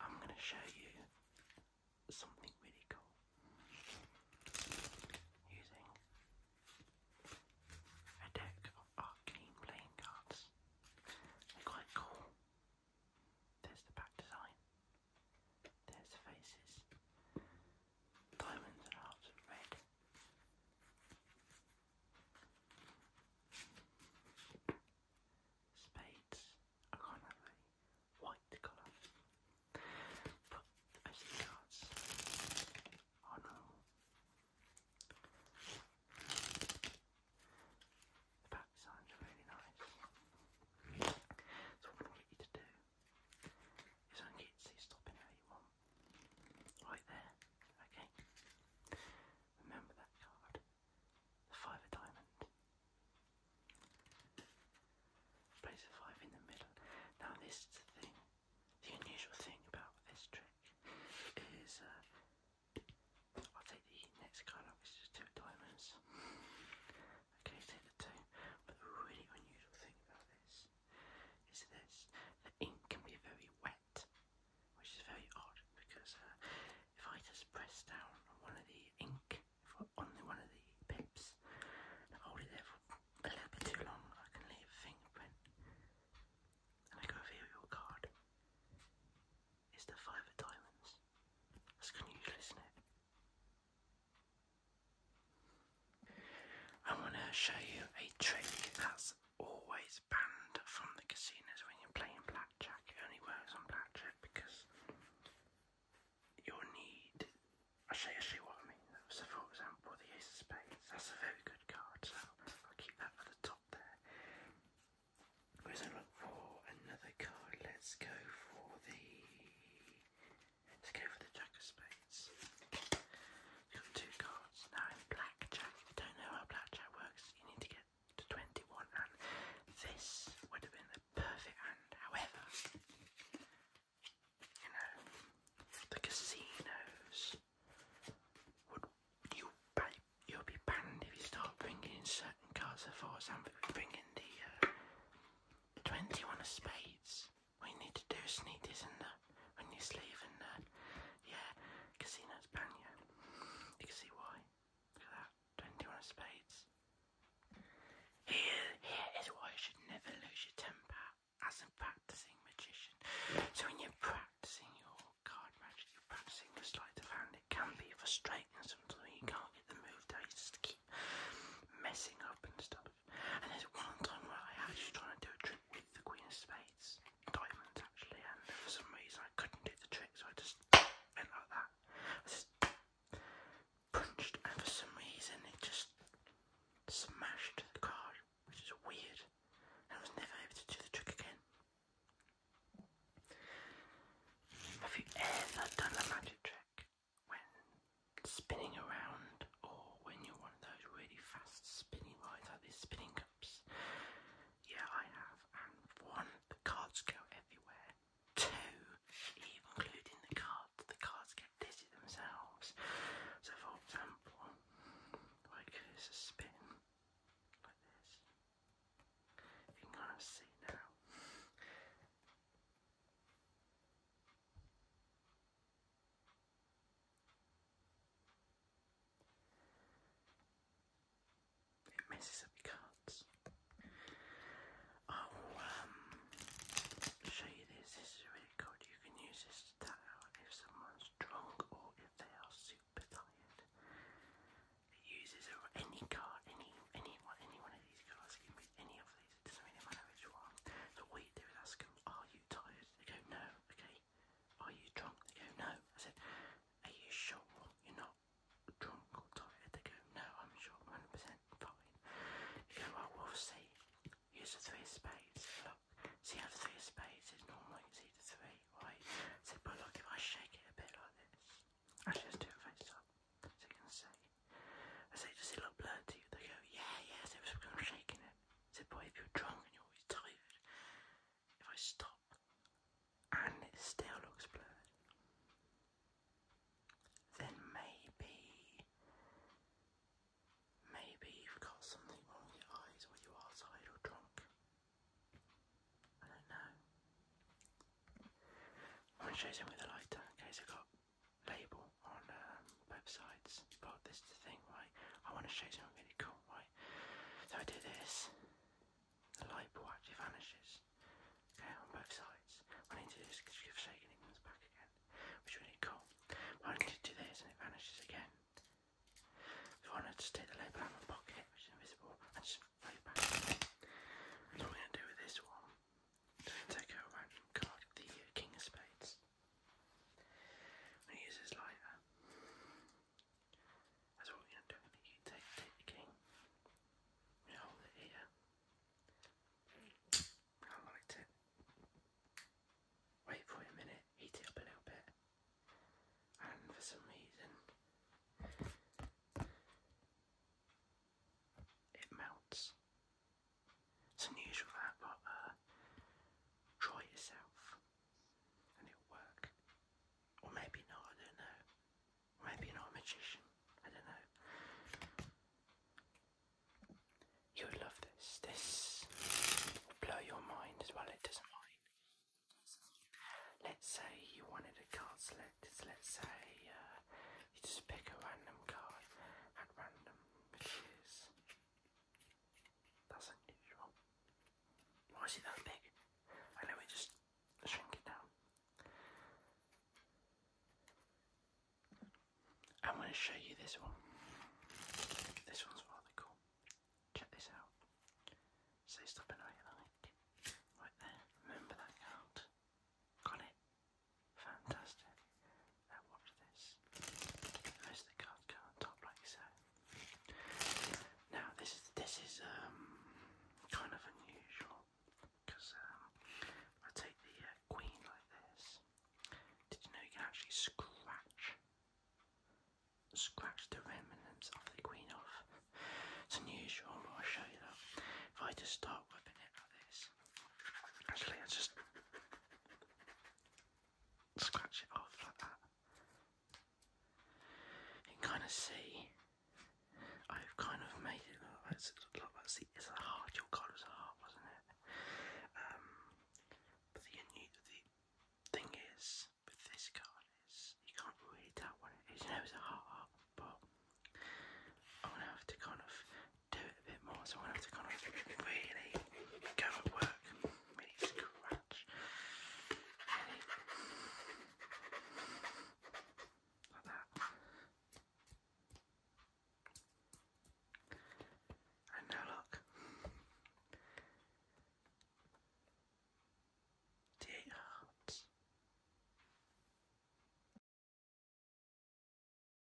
I'm going to show you something really cool using a deck of arcane playing cards. They're quite cool. There's the back design, there's the faces, diamonds and hearts of red spades. I can't remember any white colour. Put SD cards on roll. The back designs are really nice. So what I want you to do is I get to stop in how you want. Right there. Okay. Remember that card the five of diamond. Place the five in the middle. Now this thing, the unusual thing about this trick is uh, I'll take the next card which is two diamonds. okay, take the two. But the really unusual thing about this is this, the ink can be very wet which is very odd because uh, if I just press down on one of the ink, on one of the pips, hold it there for a little bit too long, I can leave a fingerprint. And I go over your card. It's the five of diamonds. That's unusual, is it? I want to show you a trick that's always banned from the casinos when you're playing blackjack. It only works on blackjack because you need. I'll show you, what I mean. So, for example, the Ace of Spades. That's a very good card, so I'll keep that at the top there. We're look for another card. Let's go for the. Let's go for the Jack of Spades. got two cards. Now in blackjack, don't know how blackjack works, you need to get to 21 and this would have been the perfect hand. However, you know, the casinos would you you'll be banned if you start bringing certain cards. I thought something would the uh, 21 of spades. We need to do sneakers and the when you sleeve and uh, yeah, Casino's Banyo. You can see why. Look at that. 21 spades. Here, here is why you should never lose your temper as a practicing magician. So when you're practicing your card magic, you're practicing your sleight of hand. It can be frustrating sometimes you can't get the move down. You just keep messing up and stuff. And there's one time where I was trying to do a with the Queen of Spades, diamonds actually, and for some reason I couldn't do the trick, so I just went like that. I just punched, and for some reason it just smashed the card, which is weird. I was never able to do the trick again. Have you ever done a magic trick when spinning around or when you're one of those really fast spinning rides like this spinning yeah, I have. And one, the cards go everywhere. Two, even including the cards, the cards get dizzy themselves. So, for example, like this a spin, like this. You can kind of see now. It cards. Oh, um, i show you this. This is really good. You can use this to tell if someone's drunk or if they are super tired. It uses any card, any any one, any one of these cards. It can any of these. It doesn't really matter which one. So what you do ask them, "Are you tired?" They go, "No." Okay, are you drunk? They go, No. I said, Are you sure you're not drunk or tired? They go, No, I'm sure i 100% fine. They go, Well, we'll see. Use the three spades. Look, see how the three spades is normal. You see the three, right? I said, But look, if I shake it a bit like this, I just do it face up so you can see. I said, just a little blurred to you? They go, Yeah, yes, it was because I'm shaking it said, Boy, if you're drunk and you're always tired, if I stop and it still looks blurred, then maybe, maybe you've got something wrong your eyes or you are tired or drunk. I don't know. I'm going to show you with a lighter in case i got label on um, websites, but this is the thing, right? I want to show something really cool, right? So I do this, the light bulb actually vanishes, okay, on both sides. I need to do is give shaking, it comes back again, which is really cool. I need to do this and it vanishes again. So I want to take the label out of my pocket, which is invisible, and just throw it back. what I'm going to do with this one, I'm going to take a random card, the King of Spades use this lighter. That's what you're going to do. You take, take the king, hold it here. I liked it. Wait for a minute, heat it up a little bit. And for some reason, it melts. It's unusual that, but uh, try yourself and it'll work. Or maybe not, I don't know. Maybe you're not a magician, I don't know. You would love this. This will blow your mind as well, it doesn't mind. Let's say you wanted a card selected, let's say uh, you just pick a random card at random, which that's unusual. Why is it that big? I know just shrink it down. I'm going to show you this one. This one's rather cool. Check this out. Say stop and I right there. Remember that card? Got it? Fantastic. Now watch this. There's the card on top like so. Now this is this is um kind of unusual because um I take the uh, queen like this. Did you know you can actually scratch scratch the remnants of the queen off? It's unusual, I'll show you that. If I just start whipping it like this, actually I just scratch it off like that. You can kind of see I've kind of made it look like it's, a heart, your card was a heart, wasn't it? Um, but the, thing is, with this card is, you can't really tell what it is, you know a heart, but I'm going to have to kind of do it a bit more, so I have to kind really go and work, really scratch. Like that. And now look. The hearts.